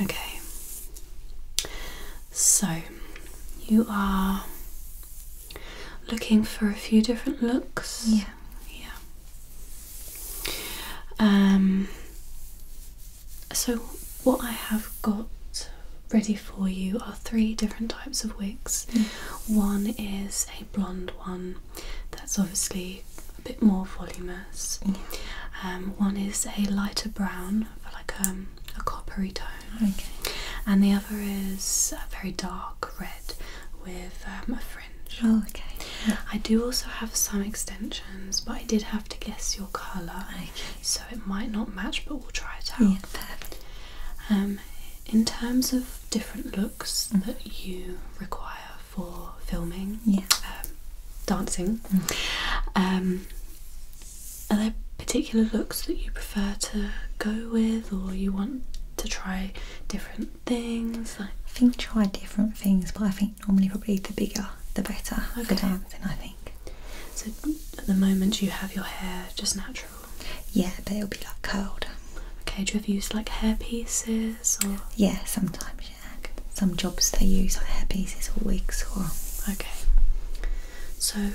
Okay, so you are looking for a few different looks. Yeah, yeah. Um, so what I have got ready for you are three different types of wigs. Mm. One is a blonde one that's obviously a bit more volumous. Mm. Um, one is a lighter brown, for like um, a coppery tone. Okay. And the other is a very dark red with um, a fringe. Oh, okay. I do also have some extensions, but I did have to guess your colour, so it might not match, but we'll try it out. in terms of different looks mm. that you require for filming, yeah. Um, dancing. Mm. Um, are there particular looks that you prefer to go with, or you want to try different things? I think try different things, but I think normally probably the bigger the better for dancing. I think. So at the moment you have your hair just natural. Yeah, but it'll be like curled. Okay, do you ever use like hair pieces or? Yeah, sometimes. Some jobs they use like hair or wigs or. Okay. So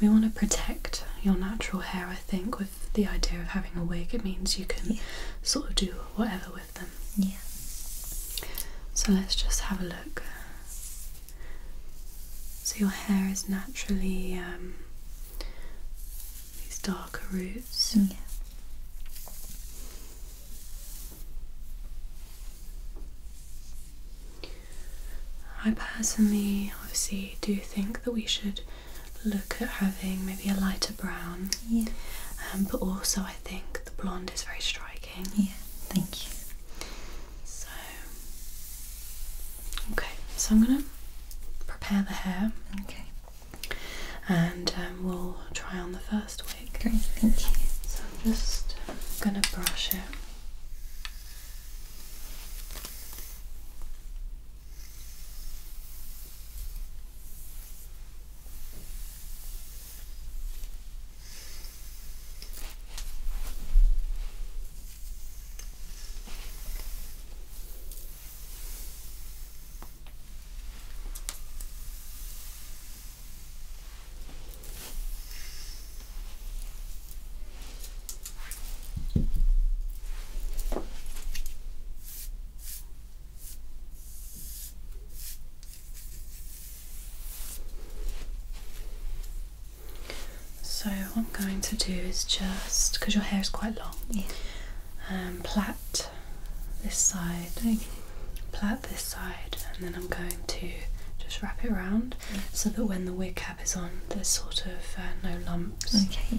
we want to protect your natural hair, I think, with the idea of having a wig. It means you can sort of do whatever with them. Yeah. So let's just have a look. So your hair is naturally um, these darker roots. I personally obviously do think that we should look at having maybe a lighter brown. Yeah. Um, but also I think the blonde is very striking. Yeah, thank you. So okay, so I'm gonna prepare the hair. Okay. And um, we'll try on the first first thank you. So I'm just gonna brush it. So what I'm going to do is just because your hair is quite long, yeah. Um, plait this side, okay. plat this side, and then I'm going to just wrap it around so that when the wig cap is on, there's sort of uh, no lumps. Okay.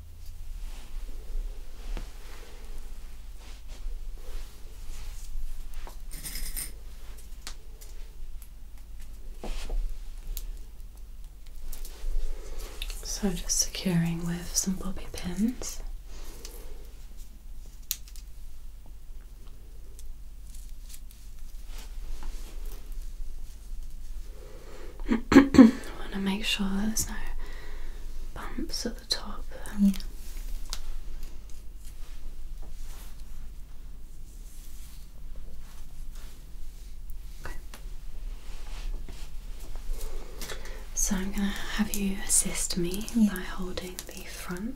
So, just securing with some bobby pins. I want to make sure there's no bumps at um, so I'm going to have you assist me by holding the front.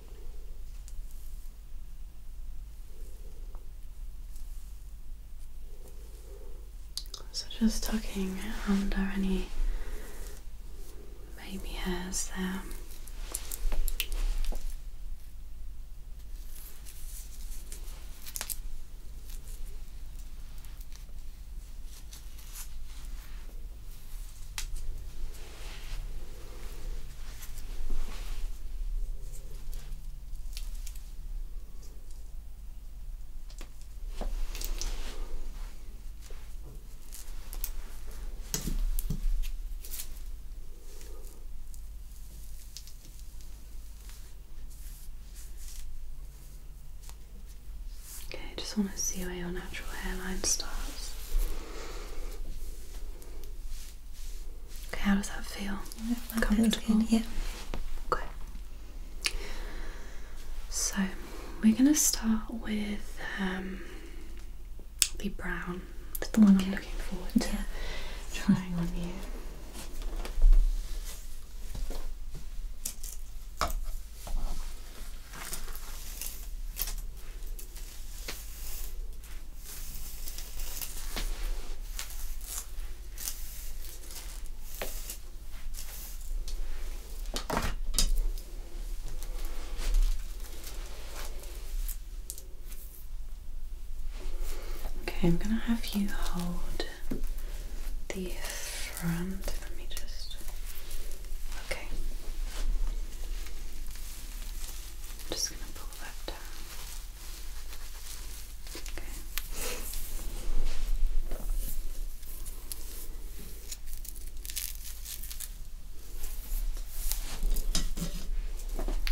So just tucking under um, any baby hairs there. Um, Okay, I just want to see where your natural hairline starts. Okay, how does that feel? Comfortable? yeah. Okay. So we're gonna start with um, the brown. the one I'm looking forward to trying on you. Okay, I'm going to have you hold the front. Let me just. Okay just going to pull that down. Okay.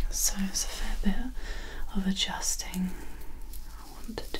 So it's a fair bit of adjusting I want to do.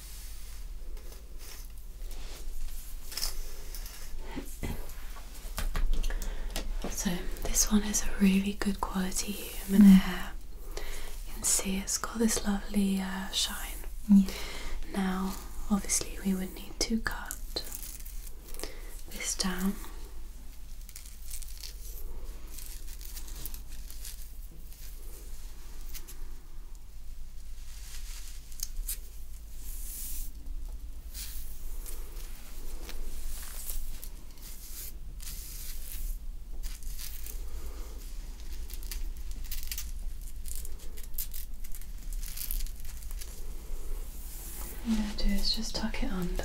So, this one is a really good quality human mm. hair. You can see it's got this lovely uh, shine. Mm. Now, obviously, we would need to cut this down. I'm going to do is just tuck it under.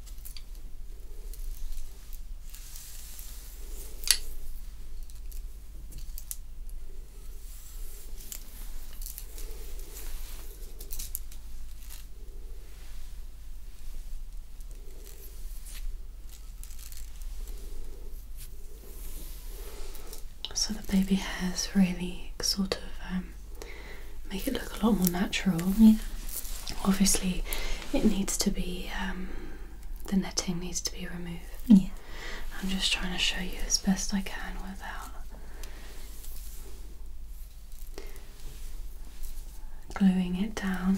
So the baby has really sort of um, make it look a lot more natural. Obviously, it needs to be um, the netting needs to be removed. I'm just trying to show you as best I can without gluing it down.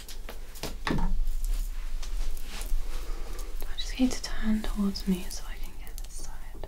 i just need to turn towards me so I can get this side.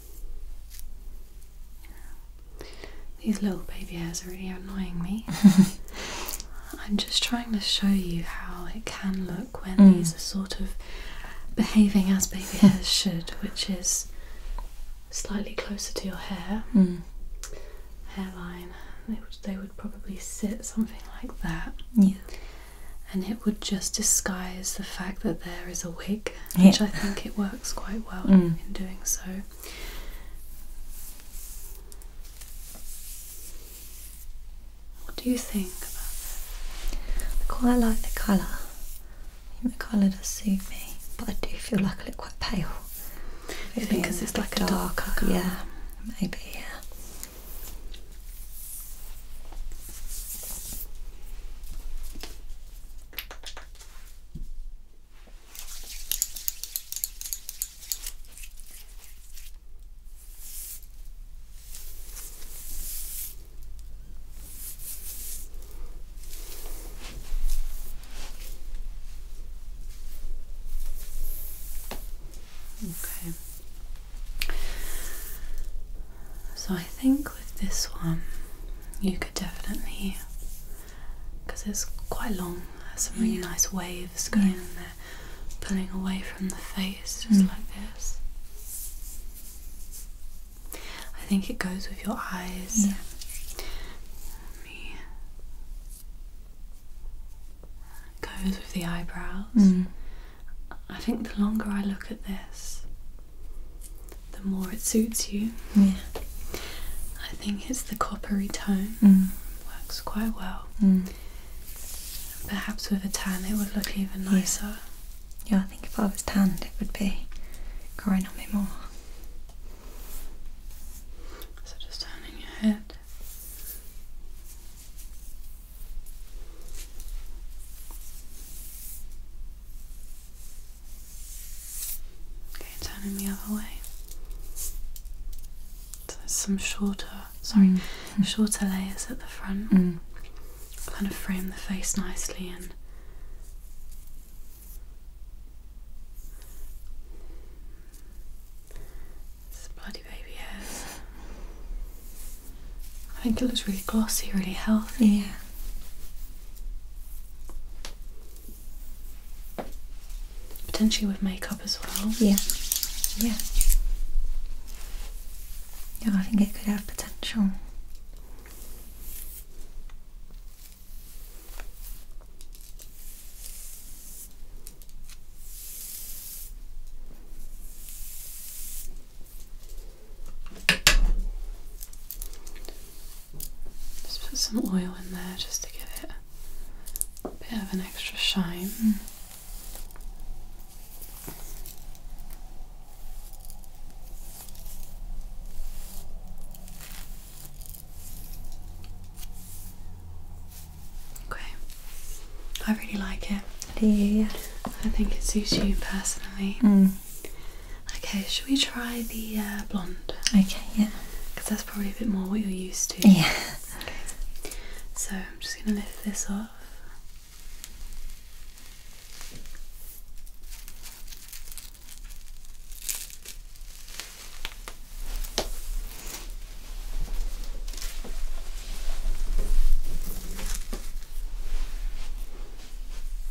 These little baby hairs are really annoying me. I'm just trying to show you how it can look when mm. these are sort of behaving as baby hairs should, which is slightly closer to your hair, mm. hairline. They would, probably sit something like that. And it would just disguise the fact that there is a wig which I think it works quite well mm. in doing so. What do you think about that? I quite like the colour. the colour does suit me, but I do feel like I look quite pale. because it's like a darker colour. Yeah, maybe, Okay. So I think with this one, you could definitely, because it's quite long, has some really mm. nice waves going in there, pulling away from the face, just mm. like this. I think it goes with your eyes. Yeah. Me. Goes with the eyebrows. Mm. I think the longer I look at this, the more it suits you. Yeah. I think it's the coppery tone. Mm. Works quite well. Mm. Perhaps with a tan it would look even nicer. Yeah. I think if I was tanned it would be growing on me more. So just turning your head. Okay, turning the other way. So there's some shorter, sorry, mm. Mm. shorter layers at the front. Mm. Kind of frame the face nicely and bloody baby hairs. I think it looks really glossy, really healthy. Yeah. Potentially with makeup as well. Yeah. Yeah. Yeah, I think it could have potential. Just put some oil in there just to give it a bit of an extra shine. Okay, I really like it. Do you? I think it suits you personally. Mm. Okay, should we try the uh, blonde? Okay, yeah. Because that's probably a bit more what you're used to. Yeah. Okay. So I'm just going to lift this off.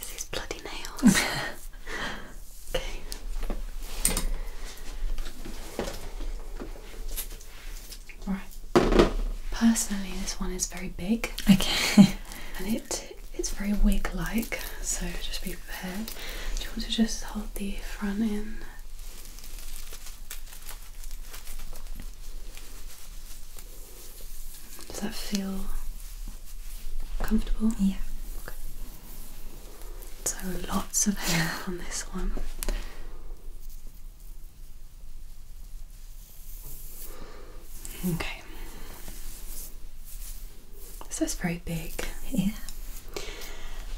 These bloody nails. okay. Right. Personally, this one is very big. Okay. and it it's very wig-like, so just be prepared. Do you want to just hold the front in? Does that feel comfortable? Yeah. Okay. So lots of hair on this one. Okay. This is very big. Yeah.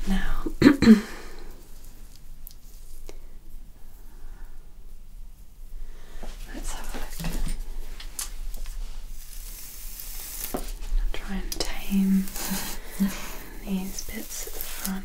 Now. Let's have a look. try and tame these bits at the front.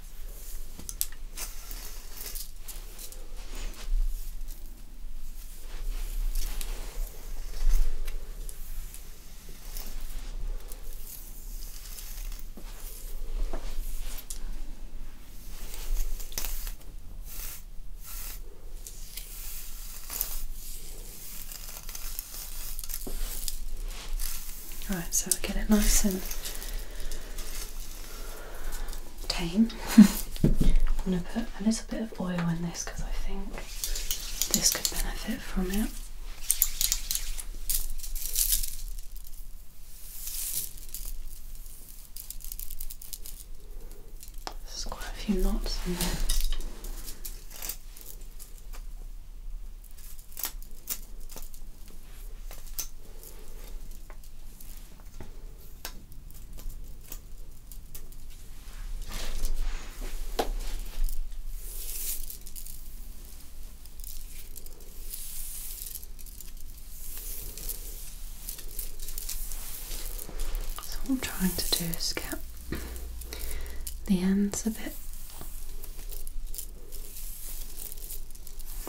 Right, so get it nice and tame. I'm going to put a little bit of oil in this because I think this could benefit from it. There's quite a few knots in there. So, I'm trying to do is get the ends a bit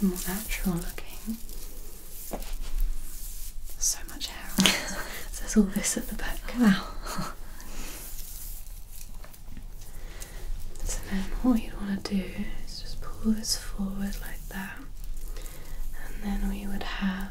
more natural looking. So much hair so there's all this at the back. Wow. so then what you'd want to do is just pull this forward like that. And then we would have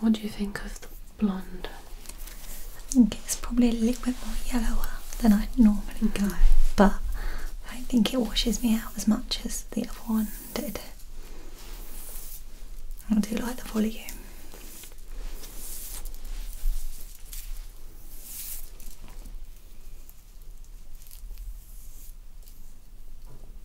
What do you think of the blonde? I think it's probably a little bit more yellower than i normally mm-hmm. go, but I don't think it washes me out as much as the other one did. I do like the volume.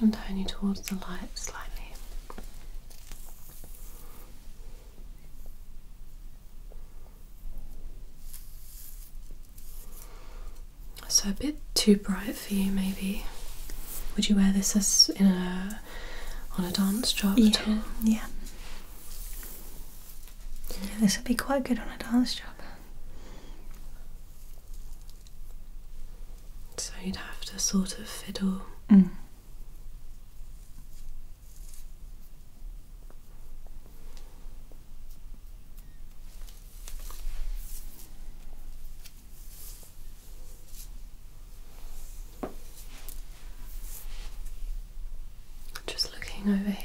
and turn you towards the light slightly. So a bit too bright for you, maybe. Would you wear this as in a on a dance job at all? Yeah. Yeah, this would be quite good on a dance job. So you'd have to sort of fiddle. Mm. Just looking over here.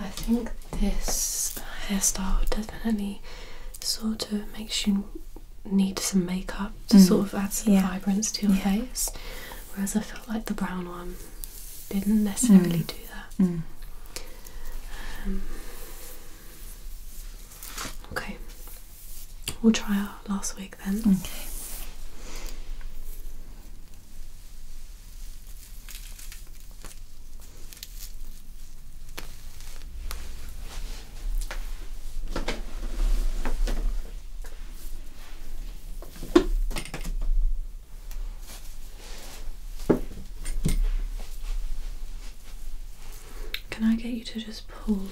I think this hairstyle definitely sort of makes you need some makeup to mm. sort of add some vibrance to your face, whereas I felt like the brown one didn't necessarily mm. do that. Mm. Um, Okay. We'll try our last week then. Okay. Can I get you to just pull?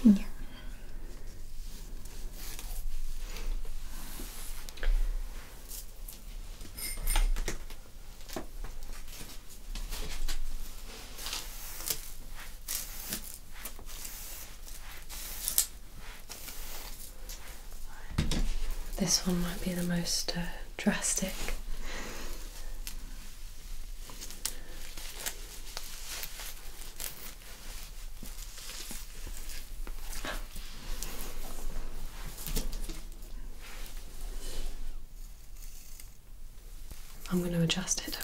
This one might be the most uh, drastic. I'm going to adjust it.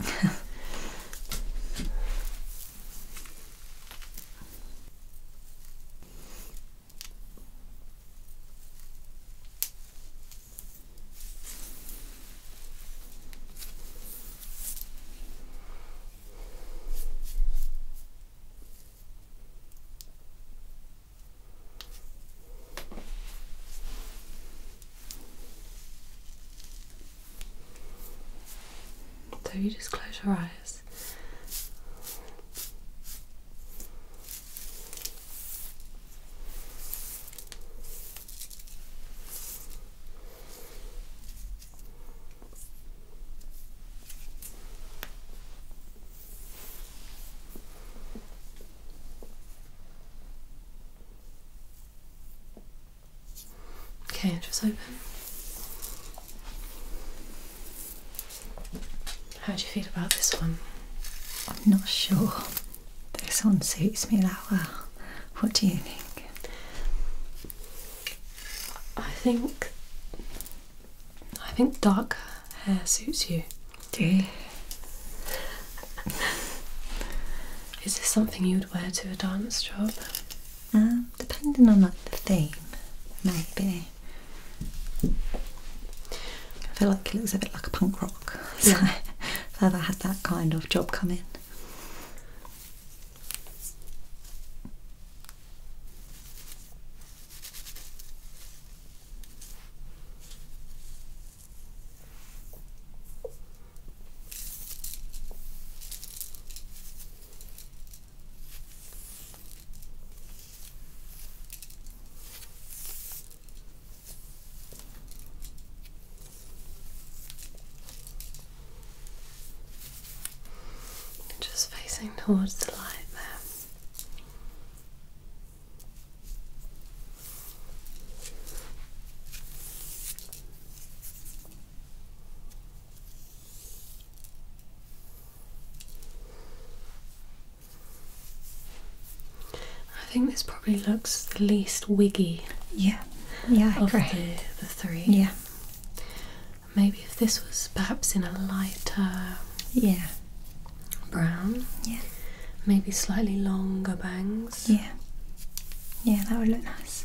So you just close your eyes. Okay, just open. How do you feel about this one? I'm not sure. This one suits me that well. What do you think? I think I think dark hair suits you. Do Is this something you would wear to a dance job? Um, depending on like the theme, maybe. I feel like it looks a bit like a punk rock rock. So yeah. I had that kind of job come in. Just facing towards the light there. I think this probably looks the least wiggy. Yeah, yeah, I agree. the three. Yeah. Maybe if this was perhaps in a lighter. Yeah. Brown. Yeah. Maybe slightly longer bangs. Yeah. Yeah, that would look nice.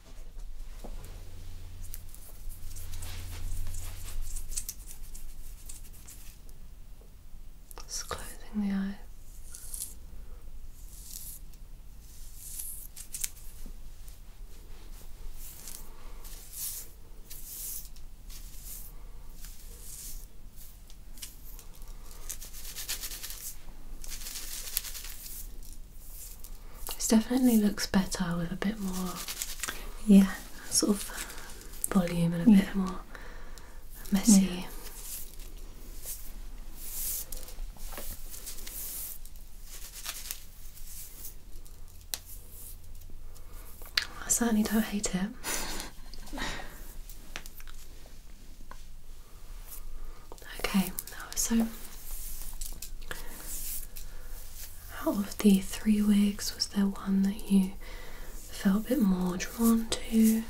Just closing the eyes. This definitely looks better with a bit more, yeah, sort of volume and a bit more messy. I certainly don't hate it. Okay, so out of the three wigs, was there one that you felt a bit more drawn to?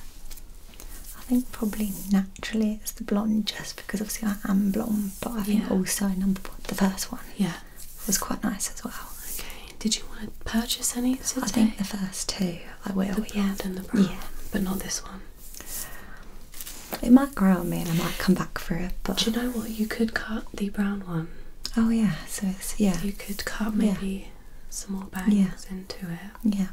I think probably naturally it's the blonde, just because obviously I am blonde, but I think also number one, the first one, yeah, was quite nice as well. Okay, did you want to purchase any? Today? I think the first two I will. yeah. and the brown, yeah. but not this one. It might grow on me and I might come back for it. But you know what? You could cut the brown one. Oh yeah, so it's yeah. You could cut maybe some more bangs into it. Yeah.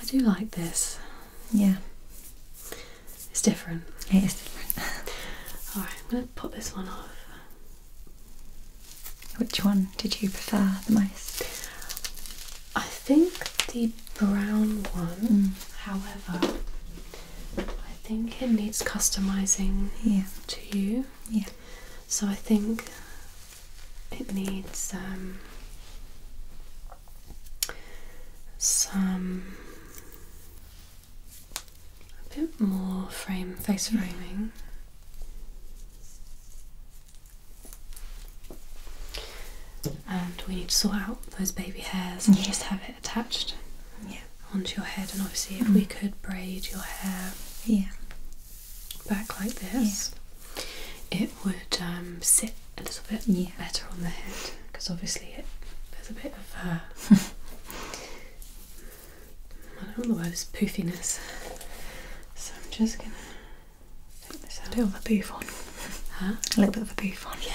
I do like this. Yeah. It's different. It is different. Alright, I'm gonna put this one off. Which one did you prefer the most? I think the brown one, mm. however, I think it needs customizing to you. Yeah. So I think it needs um, some a bit more frame face mm. framing. And we need to sort out those baby hairs and just have it attached onto your head. And obviously, if we mm-hmm. could braid your hair back like this, it would um, sit a little bit better on the head because obviously it, there's a bit of uh, I don't know the word poofiness. So I'm just gonna Take this A bit of a boof on. A little bit of a boof on, yeah.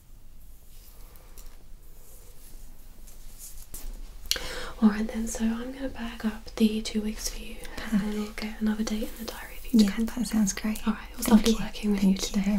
Alright then, so I'm going to back up the two weeks for you and then we'll get another date in the diary if you. Yeah, can. that sounds great. Alright, it was lovely working with you today.